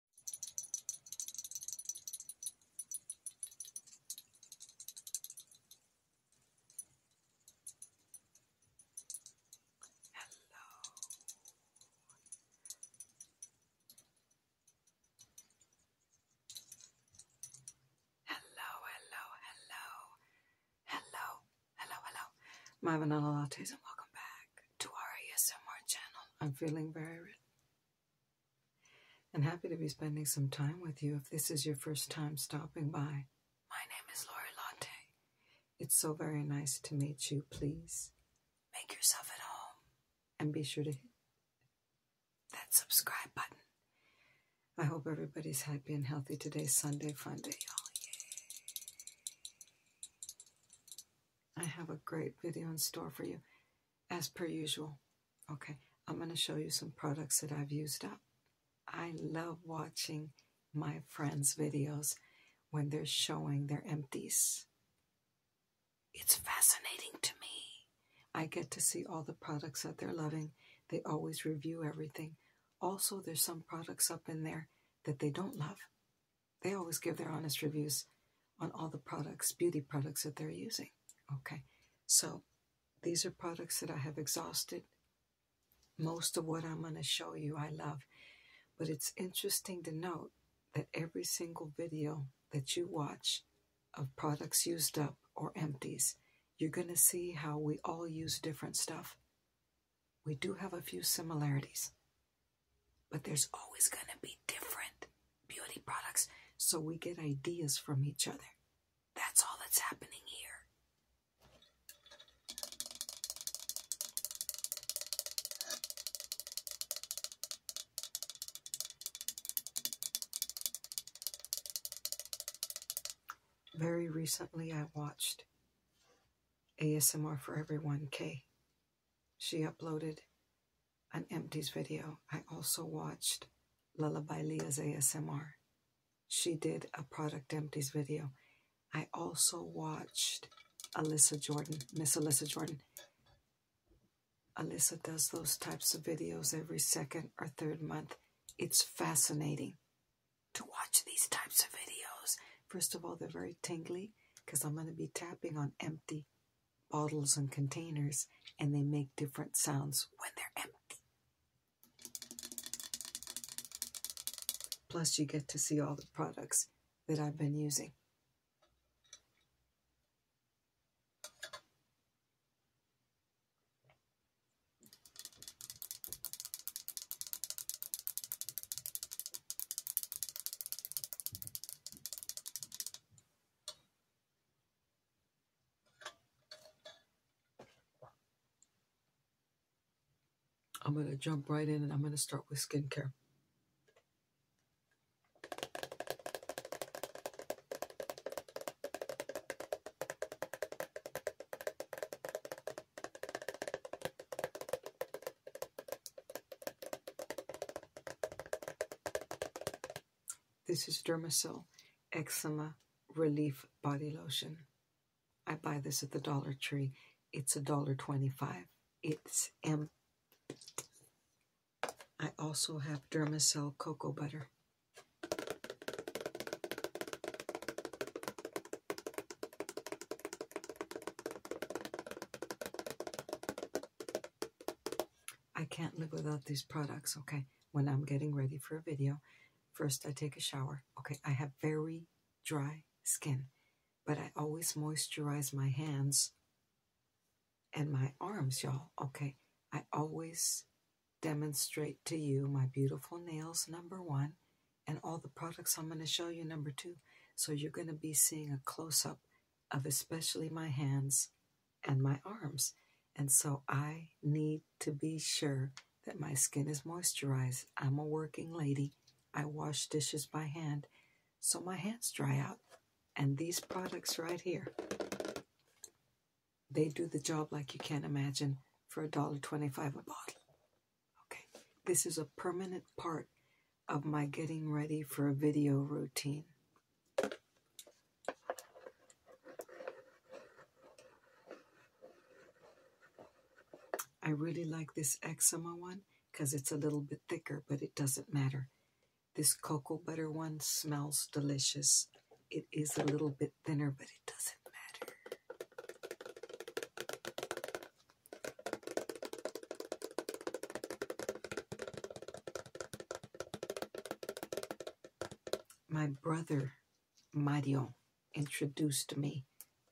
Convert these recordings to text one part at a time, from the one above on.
Hello. Hello, hello, hello. Hello, hello, My vanilla lattes and welcome back to our ASMR channel. I'm feeling very and happy to be spending some time with you if this is your first time stopping by. My name is Lori Lante. It's so very nice to meet you. Please make yourself at home and be sure to hit that subscribe button. I hope everybody's happy and healthy today, Sunday, fun day, y'all. I have a great video in store for you, as per usual. Okay, I'm going to show you some products that I've used up. I love watching my friends' videos when they're showing their empties. It's fascinating to me. I get to see all the products that they're loving. They always review everything. Also, there's some products up in there that they don't love. They always give their honest reviews on all the products, beauty products that they're using. Okay, so these are products that I have exhausted. Most of what I'm going to show you, I love. But it's interesting to note that every single video that you watch of products used up or empties, you're going to see how we all use different stuff. We do have a few similarities. But there's always going to be different beauty products, so we get ideas from each other. That's all that's happening here. Very recently, I watched ASMR for Everyone K she uploaded an Empties video. I also watched Lullaby Leah's ASMR. She did a Product Empties video. I also watched Alyssa Jordan, Miss Alyssa Jordan. Alyssa does those types of videos every second or third month. It's fascinating to watch these types of videos. First of all, they're very tingly because I'm going to be tapping on empty bottles and containers, and they make different sounds when they're empty. Plus, you get to see all the products that I've been using. I'm going to jump right in and I'm going to start with skincare. This is Dermasil Eczema Relief Body Lotion. I buy this at the Dollar Tree. It's a dollar twenty-five. It's M. I also have Dermacell cocoa butter. I can't live without these products, okay? When I'm getting ready for a video, first I take a shower. Okay, I have very dry skin, but I always moisturize my hands and my arms, y'all. Okay, I always demonstrate to you my beautiful nails, number one, and all the products I'm going to show you, number two. So you're going to be seeing a close up of especially my hands and my arms. And so I need to be sure that my skin is moisturized. I'm a working lady. I wash dishes by hand, so my hands dry out. And these products right here, they do the job like you can't imagine for a dollar twenty-five a bottle. Okay, this is a permanent part of my getting ready for a video routine. I really like this eczema one because it's a little bit thicker, but it doesn't matter. This cocoa butter one smells delicious. It is a little bit thinner, but it doesn't matter. My brother Mario introduced me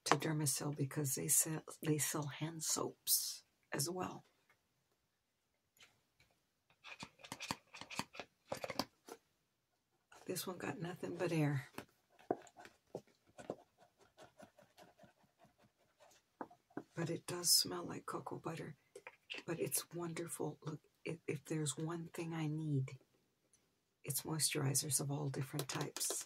to Dermacell because they sell they sell hand soaps as well. This one got nothing but air. But it does smell like cocoa butter. But it's wonderful. Look, if, there's one thing I need, it's moisturizers of all different types.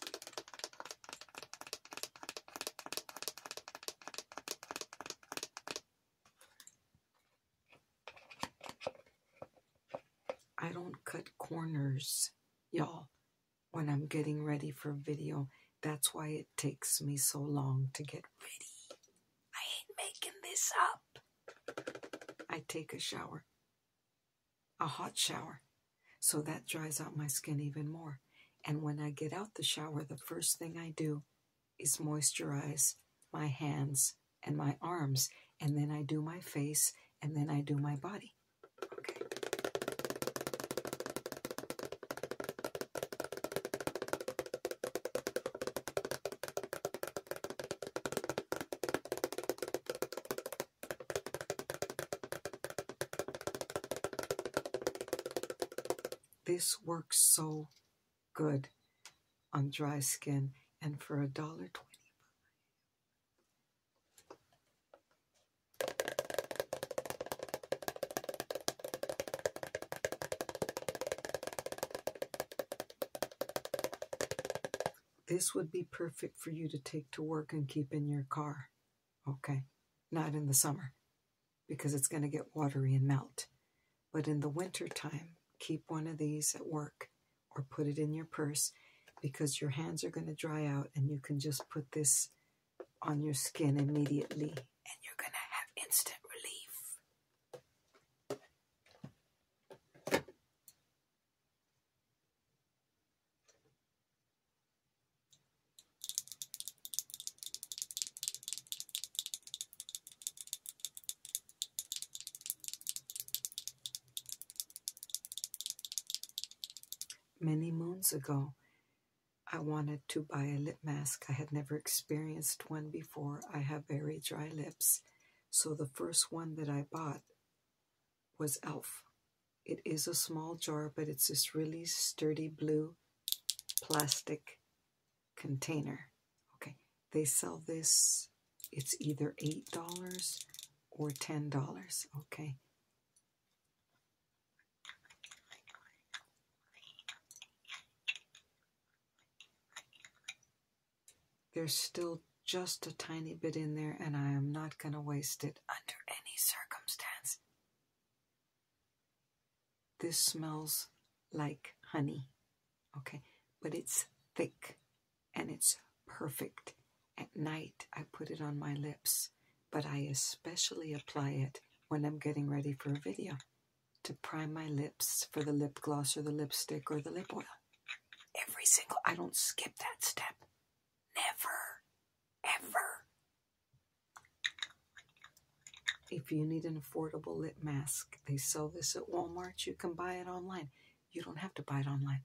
I don't cut corners, y'all when I'm getting ready for video. That's why it takes me so long to get ready. I ain't making this up. I take a shower, a hot shower, so that dries out my skin even more. And when I get out the shower, the first thing I do is moisturize my hands and my arms, and then I do my face, and then I do my body. Okay. This works so good on dry skin and for a dollar twenty. This would be perfect for you to take to work and keep in your car. Okay, not in the summer because it's going to get watery and melt. But in the winter time, keep one of these at work or put it in your purse because your hands are going to dry out and you can just put this on your skin immediately and you're going to have instant relief. Many moons ago, I wanted to buy a lip mask. I had never experienced one before. I have very dry lips. So the first one that I bought was e.l.f. It is a small jar, but it's this really sturdy blue plastic container. Okay, they sell this, it's either $8 or $10. Okay, there's still just a tiny bit in there, and I am not going to waste it under any circumstance. This smells like honey, okay? But it's thick and it's perfect. At night, I put it on my lips but I especially apply it when I'm getting ready for a video to prime my lips for the lip gloss or the lipstick or the lip oil. Every single, I don't skip that step. Never, ever. If you need an affordable lip mask, they sell this at Walmart. You can buy it online. You don't have to buy it online.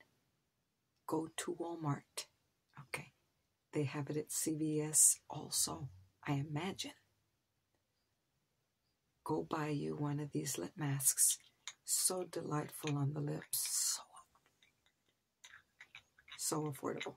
Go to Walmart. Okay. They have it at CVS also, I imagine. Go buy you one of these lip masks. So delightful on the lips. So, so affordable.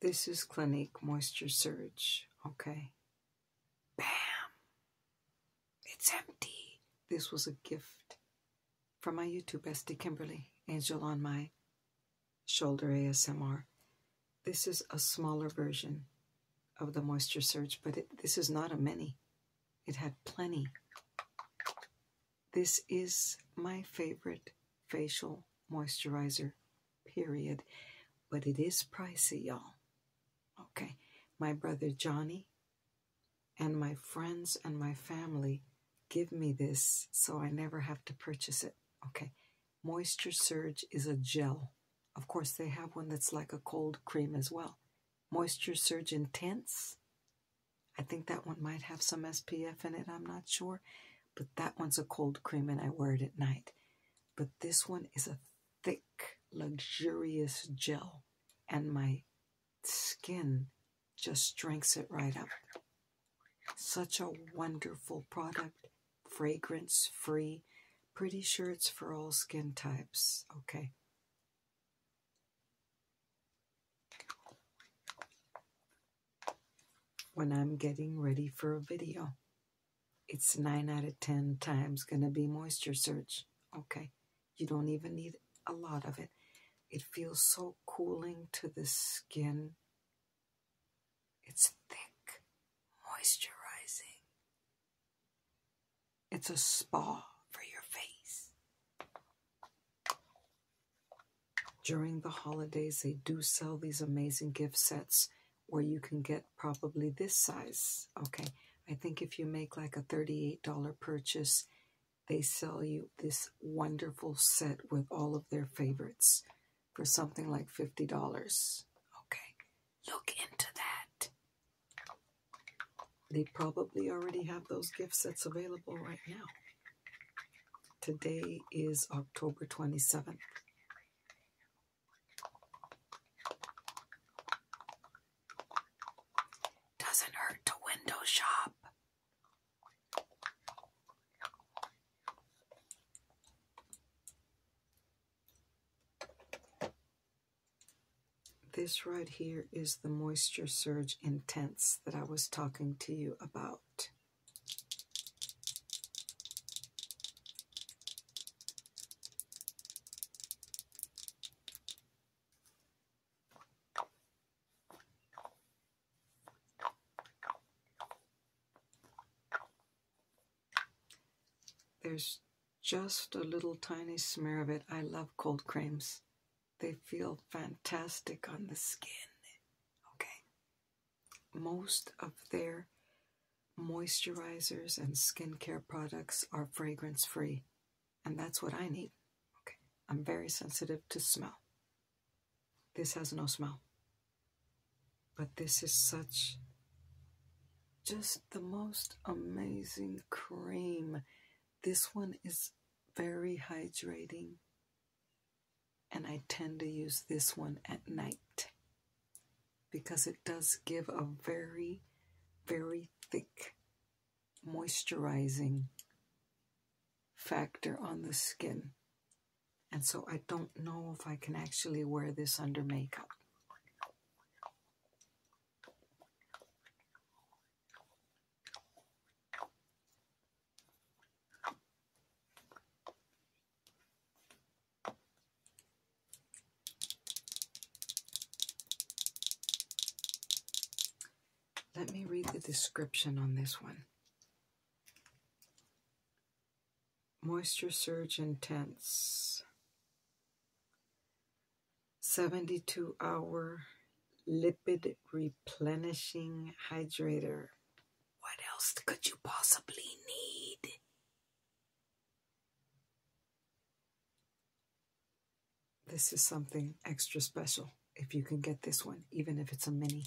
This is Clinique Moisture Surge, okay? Bam! It's empty. This was a gift from my YouTube bestie Kimberly, Angel on my shoulder ASMR. This is a smaller version of the moisture surge, but this is not a many. It had plenty. This is my favorite facial moisturizer, period. But it is pricey, y'all. Okay. My brother Johnny and my friends and my family give me this so I never have to purchase it. Okay. Moisture Surge is a gel. Of course, they have one that's like a cold cream as well. Moisture Surge Intense. I think that one might have some SPF in it, I'm not sure. But that one's a cold cream and I wear it at night. But this one is a thick, luxurious gel. And my skin just drinks it right up. Such a wonderful product, fragrance free. Pretty sure it's for all skin types. Okay. When I'm getting ready for a video, it's 9 out of 10 times going to be moisture search. Okay. You don't even need a lot of it. It feels so cooling to the skin. It's thick, moisturizing. It's a spa for your face. During the holidays, they do sell these amazing gift sets where you can get probably this size. Okay, I think if you make like a $38 purchase, they sell you this wonderful set with all of their favorites for something like $50. Okay, look into that. They probably already have those gift sets available right now. Today is October 27th. Doesn't hurt to window shop. This right here is the Moisture Surge Intense that I was talking to you about. There's just a little tiny smear of it. I love cold creams. They feel fantastic on the skin. Okay. Most of their moisturizers and skincare products are fragrance free. And that's what I need. Okay. I'm very sensitive to smell. This has no smell. But this is such just the most amazing cream. This one is very hydrating. And I tend to use this one at night because it does give a very, very thick moisturizing factor on the skin. And so I don't know if I can actually wear this under makeup. Let me read the description on this one. Moisture surge intense. 72 hour lipid replenishing hydrator. What else could you possibly need? This is something extra special if you can get this one, even if it's a mini.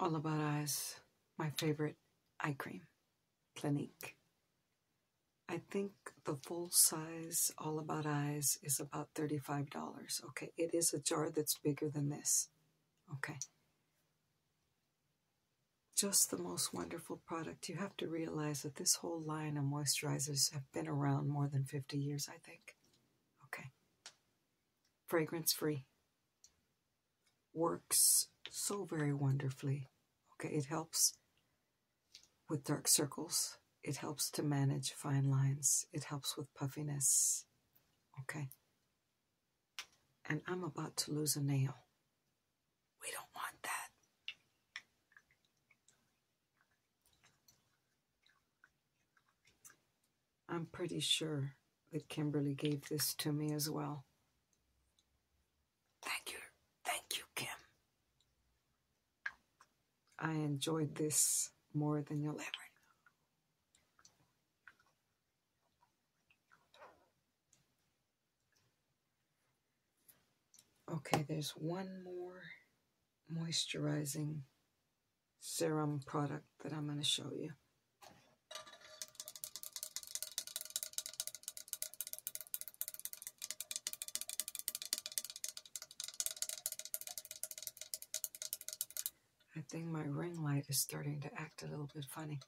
All About Eyes, my favorite eye cream, Clinique. I think the full size All About Eyes is about $35. Okay, it is a jar that's bigger than this. Okay. Just the most wonderful product. You have to realize that this whole line of moisturizers been around more than 50 years, I think. Okay. Fragrance free. Works so very wonderfully. Okay, it helps with dark circles. It helps to manage fine lines. It helps with puffiness. Okay. And I'm about to lose a nail. We don't want that. I'm pretty sure that Kimberly gave this to me as well. Thank you. Thank you, Kim. I enjoyed this more than you'll ever know. Okay, there's one more moisturizing serum product that I'm going to show you. I think my ring light is starting to act a little bit funny.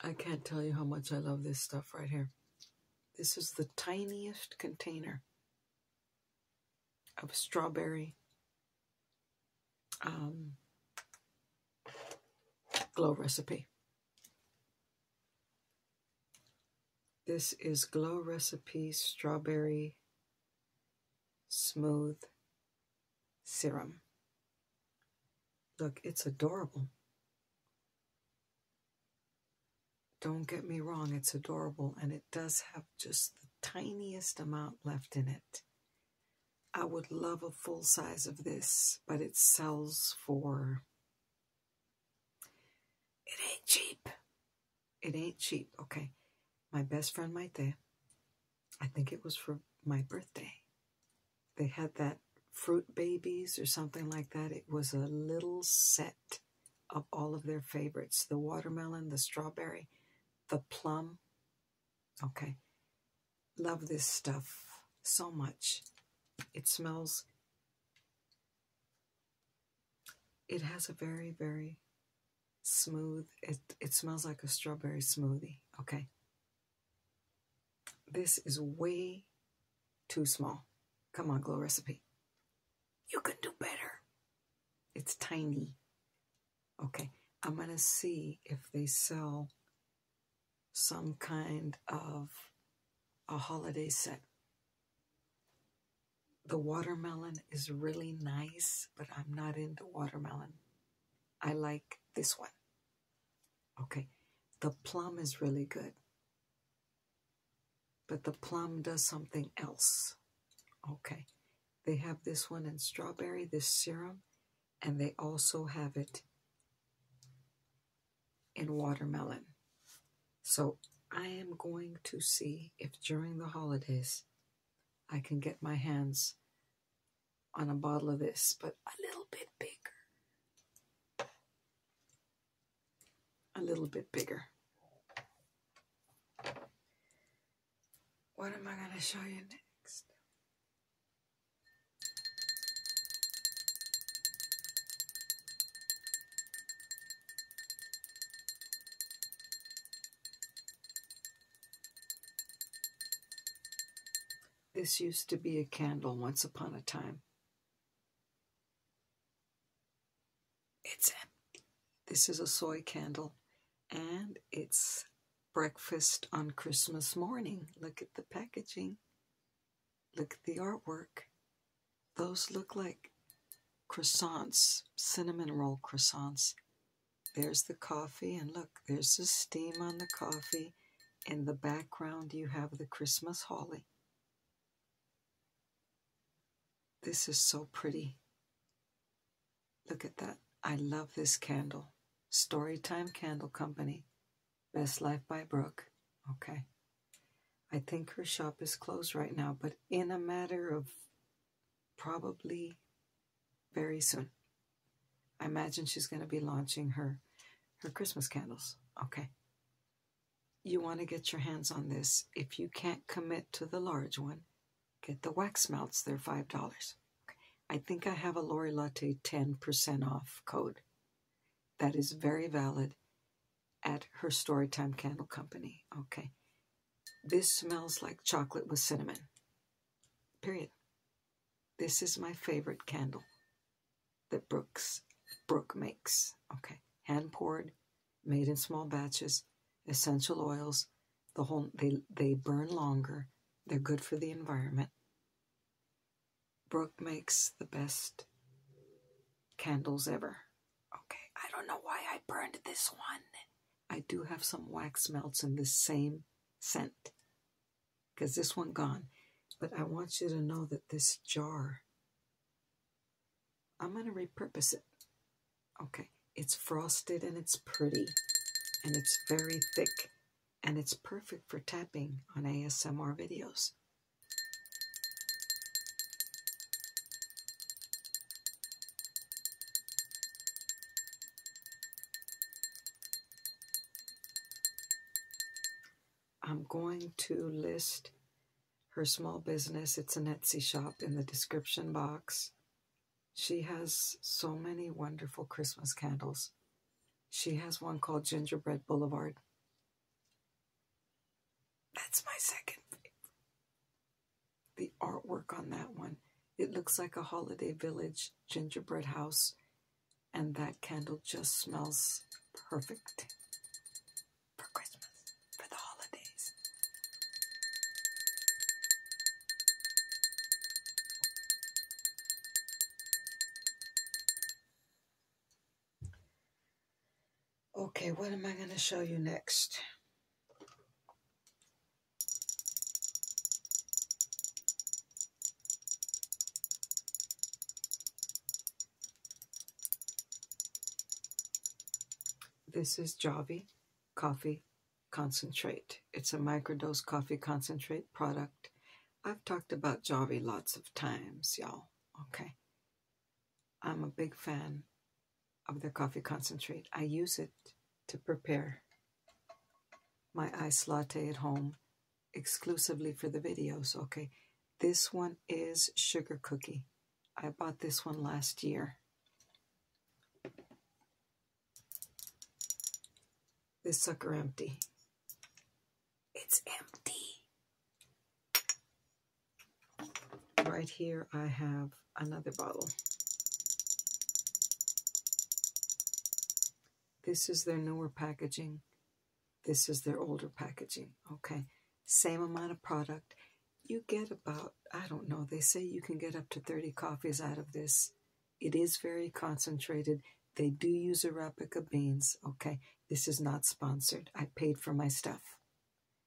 I can't tell you how much I love this stuff right here. This is the tiniest container of strawberry um, glow recipe. This is Glow Recipe Strawberry Smooth Serum. Look, it's adorable. Don't get me wrong, it's adorable, and it does have just the tiniest amount left in it. I would love a full size of this, but it sells for it ain't cheap. It ain't cheap. Okay. My best friend might there. I think it was for my birthday. They had that fruit babies or something like that. It was a little set of all of their favorites the watermelon, the strawberry, the plum. Okay. Love this stuff so much. It smells it has a very, very smooth, it, it smells like a strawberry smoothie. Okay. This is way too small. Come on, Glow Recipe. You can do better. It's tiny. Okay, I'm going to see if they sell some kind of a holiday set. The watermelon is really nice, but I'm not into watermelon. I like this one. Okay, the plum is really good. But the plum does something else. Okay, they have this one in strawberry, this serum, and they also have it in watermelon. So I am going to see if during the holidays I can get my hands on a bottle of this, but a little bit bigger. A little bit bigger. What am I going to show you next? This used to be a candle once upon a time. It's empty. This is a soy candle, and it's breakfast on Christmas morning. Look at the packaging. Look at the artwork. Those look like croissants, cinnamon roll croissants. There's the coffee, and look, there's the steam on the coffee. In the background, you have the Christmas holly. This is so pretty. Look at that. I love this candle. Storytime Candle Company. Best Life by Brooke. Okay. I think her shop is closed right now, but in a matter of probably very soon. I imagine she's going to be launching her her Christmas candles. Okay. You want to get your hands on this. If you can't commit to the large one, get the wax melts. They're $5. I think I have a Lori Latte 10% off code. That is very valid at her Storytime Candle Company. Okay. This smells like chocolate with cinnamon. Period. This is my favorite candle that Brooks Brooks makes. Okay. Hand poured, made in small batches, essential oils. The whole they they burn longer. They're good for the environment. Brooke makes the best candles ever. Okay, I don't know why I burned this one. I do have some wax melts in this same scent because this one gone. But I want you to know that this jar, I'm going to repurpose it. Okay, it's frosted and it's pretty and it's very thick and it's perfect for tapping on ASMR videos. I'm going to list her small business. It's an Etsy shop in the description box. She has so many wonderful Christmas candles. She has one called Gingerbread Boulevard. That's my second favorite. The artwork on that one. It looks like a holiday village gingerbread house, and that candle just smells perfect for Christmas, for the holidays. Okay, what am I going to show you next? This is Javi Coffee Concentrate. It's a microdose coffee concentrate product I've talked about Javi lots of times, y'all. Okay. I'm a big fan of their coffee concentrate. I use it to prepare my iced latte at home exclusively for the videos. Okay. This one is sugar cookie. I bought this one last year. This sucker empty. It's empty. Right here I have another bottle. This is their newer packaging. This is their older packaging. Okay. Same amount of product. You get about, I don't know, they say you can get up to 30 coffees out of this. It is very concentrated. They do use Arapica beans. Okay. This is not sponsored. I paid for my stuff.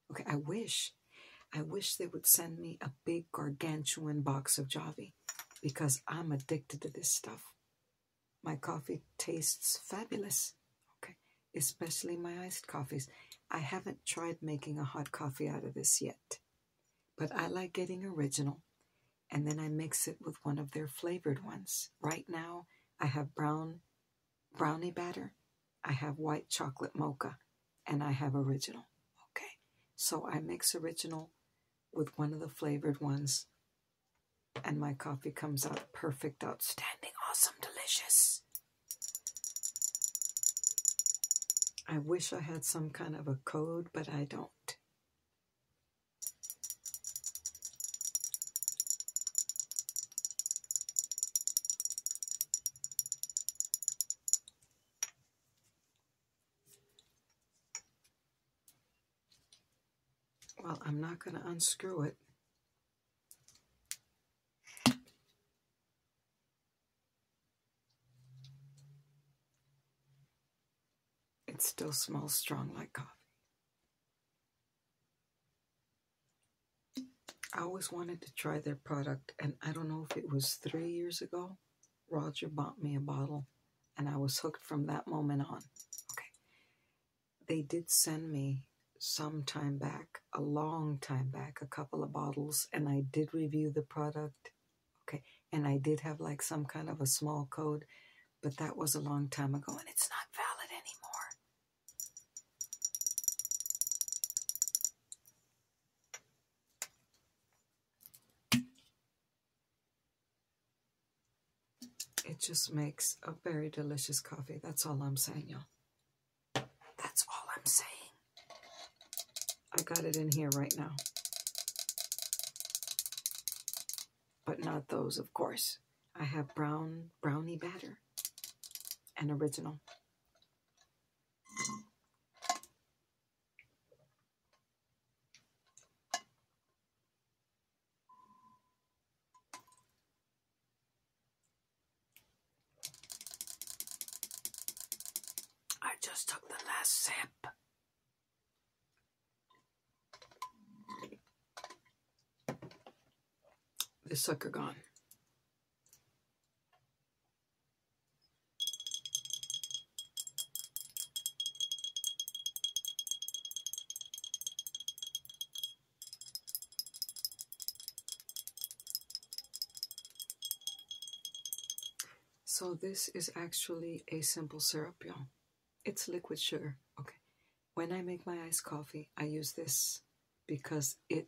Okay. I wish, I wish they would send me a big gargantuan box of Java, because I'm addicted to this stuff. My coffee tastes fabulous. Okay. Especially my iced coffees. I haven't tried making a hot coffee out of this yet, but I like getting original and then I mix it with one of their flavored ones. Right now, I have brown brownie batter, I have white chocolate mocha, and I have original. Okay, so I mix original with one of the flavored ones, and my coffee comes out perfect, outstanding, awesome, delicious. I wish I had some kind of a code, but I don't. Well, I'm not going to unscrew it. It still smells strong like coffee. I always wanted to try their product, and I don't know if it was three years ago. Roger bought me a bottle, and I was hooked from that moment on. Okay. They did send me some time back, a long time back, a couple of bottles, and I did review the product. Okay. And I did have like some kind of a small code but that was a long time ago and it's not valid anymore. It just makes a very delicious coffee. That's all I'm saying, y'all. That's all I'm saying. I got it in here right now but not those, of course. I have brown brownie batter, and original. I just took the last sip the sucker gone. So this is actually a simple syrup, y'all. It's liquid sugar. Okay. When I make my iced coffee, I use this because it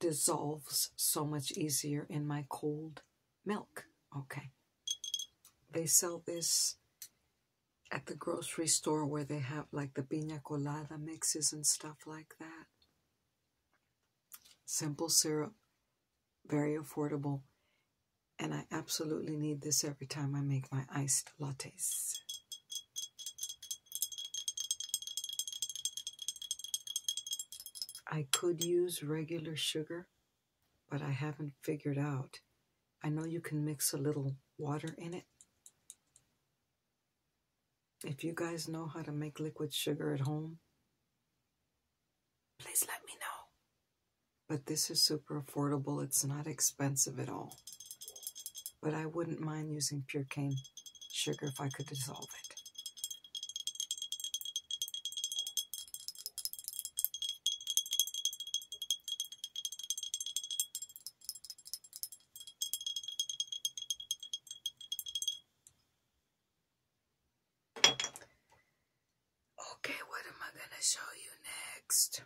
dissolves so much easier in my cold milk. Okay. They sell this at the grocery store where they have like the piña colada mixes and stuff like that. Simple syrup, very affordable. And I absolutely need this every time I make my iced lattes. I could use regular sugar, but I haven't figured out. I know you can mix a little water in it. If you guys know how to make liquid sugar at home, please let me know. But this is super affordable. It's not expensive at all. But I wouldn't mind using pure cane sugar if I could dissolve it. Okay, what am I going to show you next?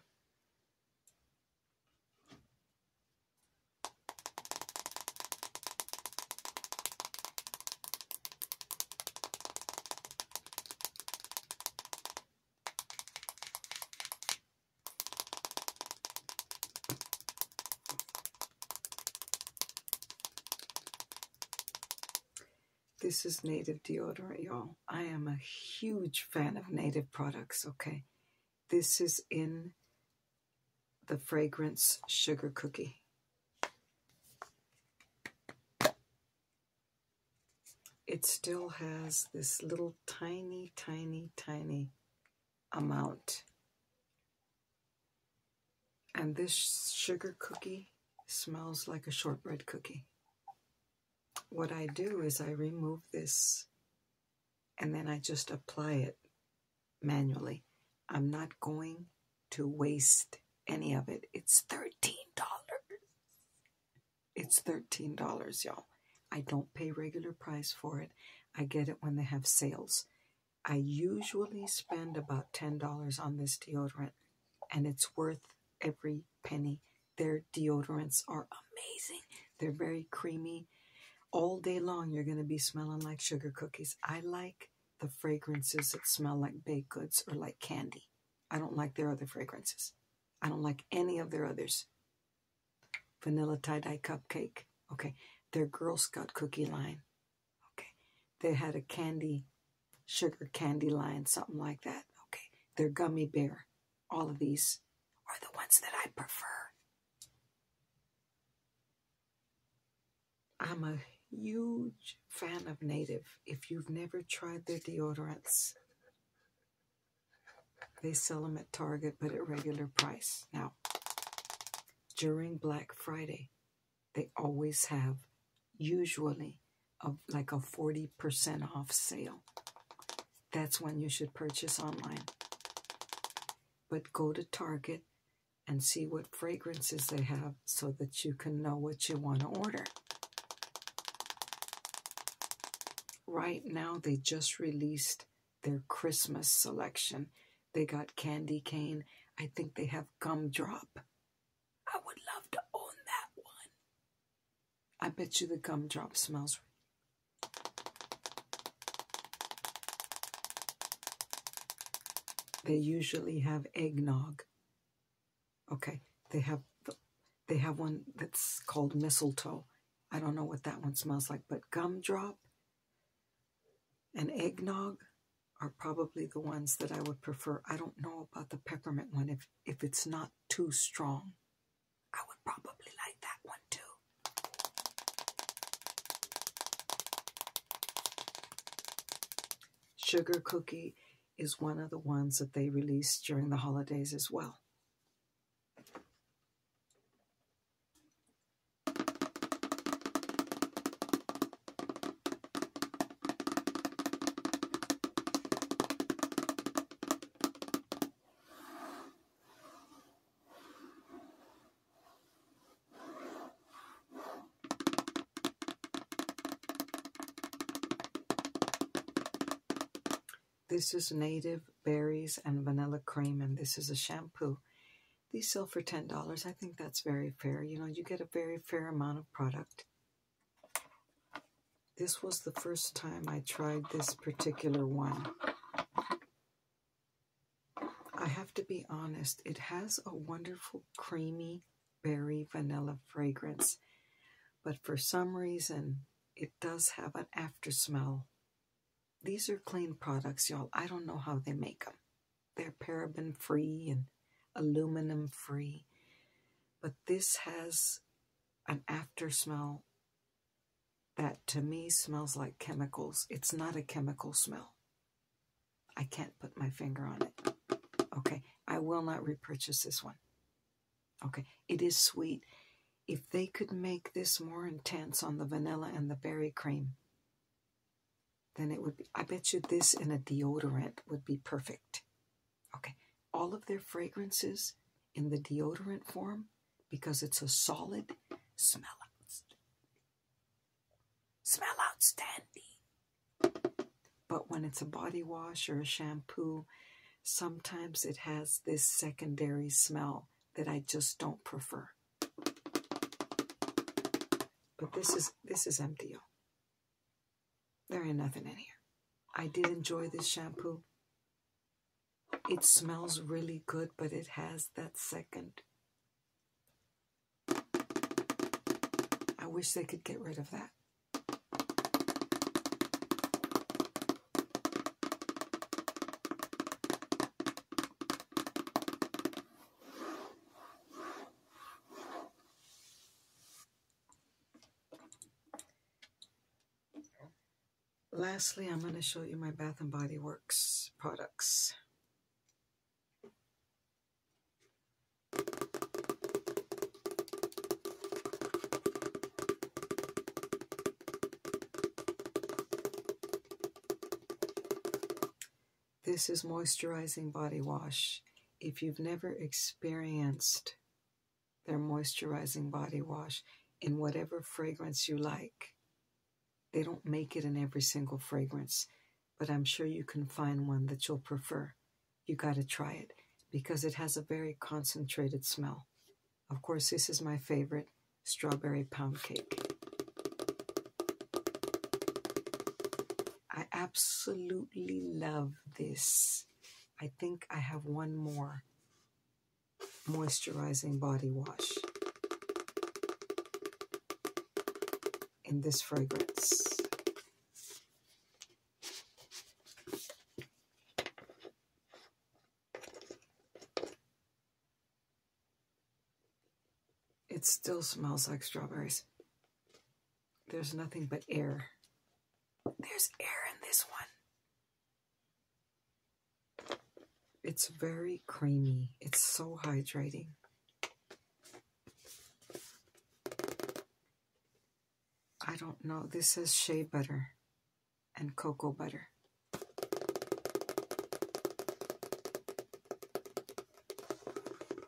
This is native deodorant, y'all. I am a huge fan of native products, okay? This is in the fragrance sugar cookie. It still has this little tiny, tiny, tiny amount. And this sugar cookie smells like a shortbread cookie what I do is I remove this and then I just apply it manually. I'm not going to waste any of it. It's $13. It's $13, y'all. I don't pay regular price for it. I get it when they have sales. I usually spend about $10 on this deodorant, and it's worth every penny their deodorants are amazing. They're very creamy. All day long, you're going to be smelling like sugar cookies. I like the fragrances that smell like baked goods or like candy. I don't like their other fragrances. I don't like any of their others. Vanilla tie dye cupcake. Okay. Their Girl Scout cookie line. Okay. They had a candy sugar candy lion, something like that. Okay, they're gummy bear. All of these are the ones that I prefer. I'm a huge fan of Native. If you've never tried their deodorants, they sell them at Target but at regular price. Now, during Black Friday, they always have usually of like a 40% off sale. That's when you should purchase online. But go to Target and see what fragrances they have so that you can know what you want to order. Right now, they just released their Christmas selection. They got candy cane. I think they have gumdrop. I would love to own that one. I bet you the gumdrop smells. They usually have eggnog. Okay, they have they have one that's called mistletoe. I don't know what that one smells like, but gumdrop and eggnog are probably the ones that I would prefer. I don't know about the peppermint one if if it's not too strong. I would probably like that one too. Sugar cookie is one of the ones that they release during the holidays as well. This is native berries and vanilla cream, and this is a shampoo. These sell for $10. I think that's very fair. You know, you get a very fair amount of product. This was the first time I tried this particular one. I have to be honest, it has a wonderful creamy berry vanilla fragrance, but for some reason it does have an after smell. These are clean products, y'all. I don't know how they make them. They're paraben free and aluminum free. But this has an after smell that to me smells like chemicals. It's not a chemical smell. I can't put my finger on it. Okay, I will not repurchase this one. Okay, it is sweet. If they could make this more intense on the vanilla and the berry cream, then it would be. I bet you this in a deodorant would be perfect. Okay, all of their fragrances in the deodorant form because it's a solid smell Smell outstanding. But when it's a body wash or a shampoo, sometimes it has this secondary smell that I just don't prefer. But this is this is MDO. There ain't nothing in here. I did enjoy this shampoo. It smells really good, but it has that second. I wish they could get rid of that. Lastly, I'm going to show you my Bath & Body Works products. This is moisturizing body wash. If you've never experienced their moisturizing body wash in whatever fragrance you like. They don't make it in every single fragrance, but I'm sure you can find one that you'll prefer. You got to try it because it has a very concentrated smell. Of course, this is my favorite strawberry pound cake. I absolutely love this. I think I have one more moisturizing body wash in this fragrance. It still smells like strawberries. There's nothing but air there's air in this one. It's very creamy. It's so hydrating. I don't know. This says shea butter and cocoa butter.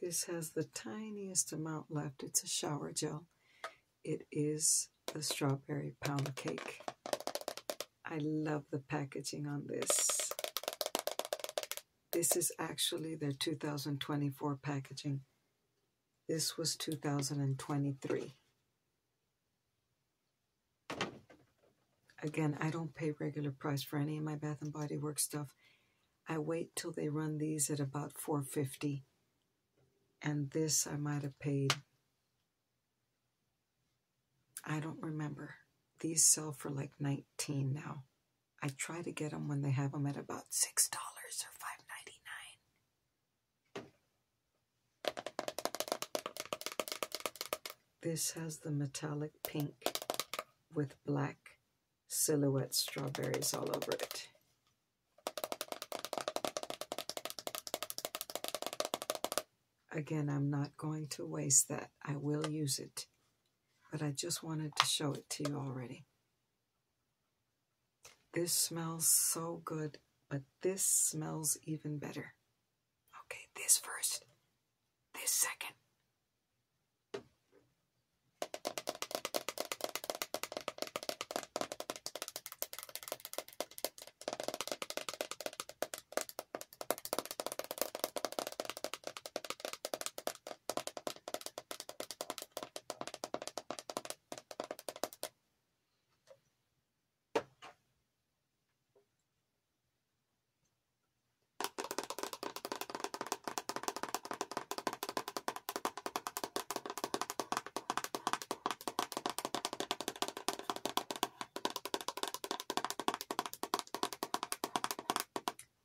This has the tiniest amount left. It's a shower gel. It is a strawberry pound cake. I love the packaging on this. This is actually their 2024 packaging. This was 2023. Again, I don't pay regular price for any of my Bath & Body Works stuff. I wait till they run these at about 450 and this I might have paid I don't remember. These sell for like 19 now. I try to get them when they have them at about $6 or five ninety nine. This has the metallic pink with black silhouette strawberries all over it. Again, I'm not going to waste that. I will use it. But I just wanted to show it to you already. This smells so good, but this smells even better. Okay, this first, this second.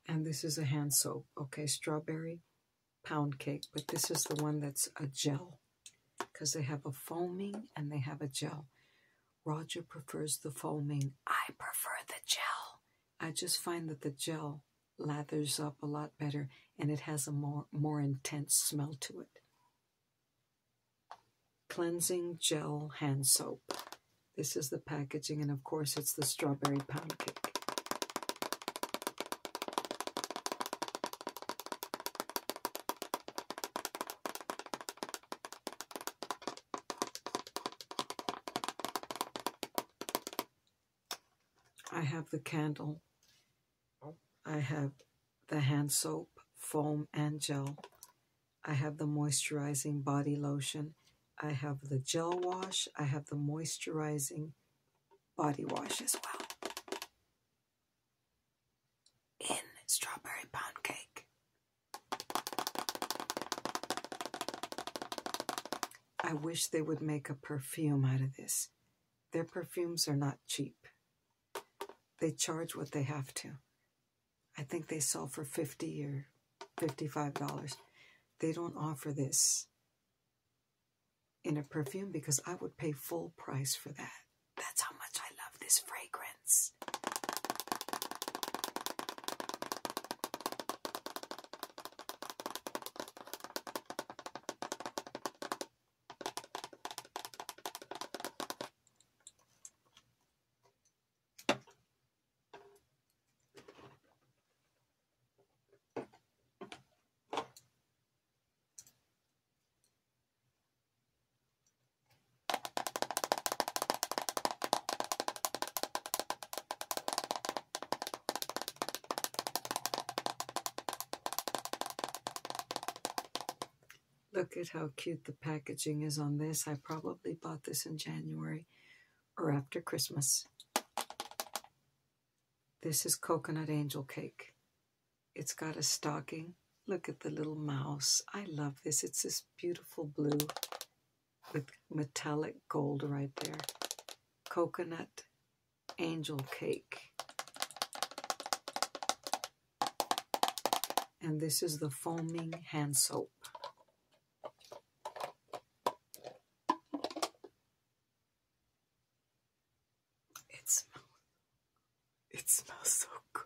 And this is a hand soap, okay? Strawberry pound cake, but this is the one that's a gel because they have a foaming and they have a gel. Roger prefers the foaming. I prefer the gel. I just find that the gel lathers up a lot better and it has a more, more intense smell to it. Cleansing Gel Hand Soap. This is the packaging, and of course, it's the strawberry pound cake. I have the candle. Oh. I have the hand soap, foam, and gel. I have the moisturizing body lotion I have the gel wash, I have the moisturizing body wash as well. In strawberry pound cake. I wish they would make a perfume out of this. Their perfumes are not cheap. They charge what they have to. I think they sell for 50 or $55. They don't offer this in a perfume because I would pay full price for that. That's how much I love this fragrance. Look at how cute the packaging is on this. I probably bought this in January or after Christmas. This is coconut angel cake. It's got a stocking. Look at the little mouse. I love this. It's this beautiful blue with metallic gold right there. Coconut angel cake. And this is the foaming hand soap. It smells it smells so good.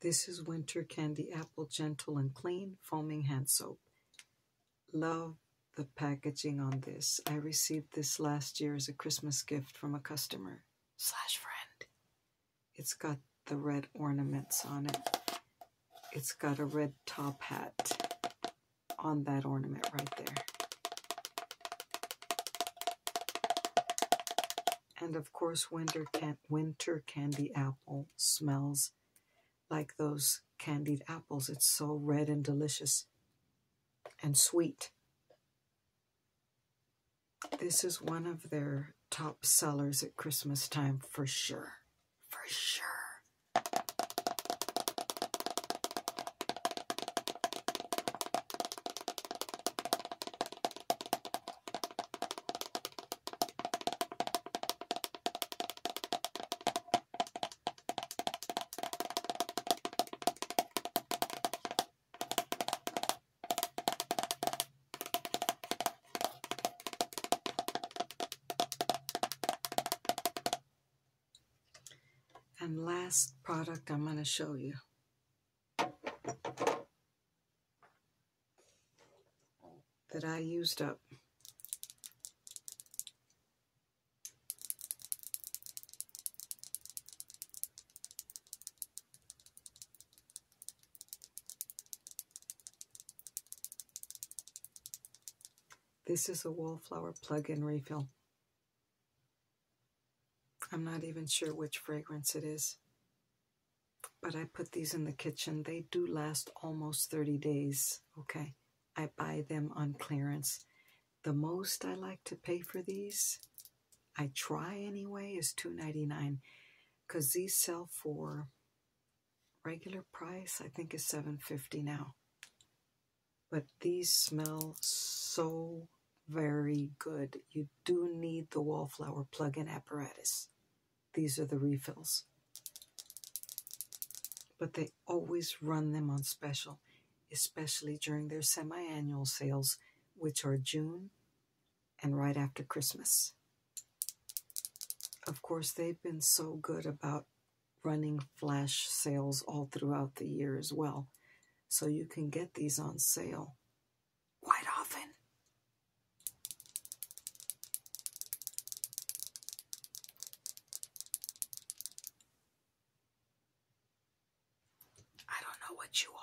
This is Winter Candy Apple Gentle and Clean Foaming Hand Soap. Love the packaging on this. I received this last year as a Christmas gift from a customer slash friend. It's got the red ornaments on it. It's got a red top hat on that ornament right there. And of course, winter, can winter candy apple smells like those candied apples. It's so red and delicious and sweet. This is one of their top sellers at Christmas time for sure for sure. And last product I'm going to show you. That I used up. This is a Wallflower plug-in refill. I'm not even sure which fragrance it is. But I put these in the kitchen. They do last almost 30 days, okay? I buy them on clearance. The most I like to pay for these, I try anyway, is $2.99 because these sell for regular price I think is 750 now. But these smell so very good. You do need the wallflower plug-in apparatus. These are the refills. But they always run them on special, especially during their semi-annual sales, which are June, and right after Christmas. Of course, they've been so good about running flash sales all throughout the year as well. So you can get these on sale quite often. I don't know what you are.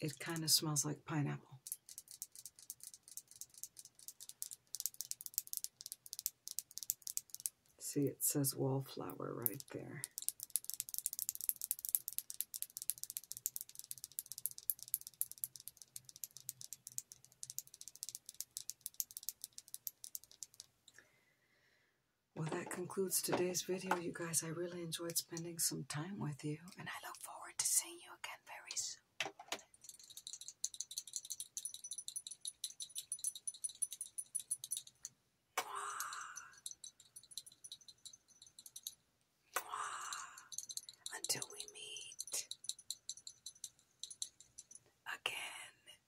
It kind of smells like pineapple. See, it says wallflower right there. Well, that concludes today's video, you guys. I really enjoyed spending some time with you, and I look forward to seeing you again very soon. Until we meet again.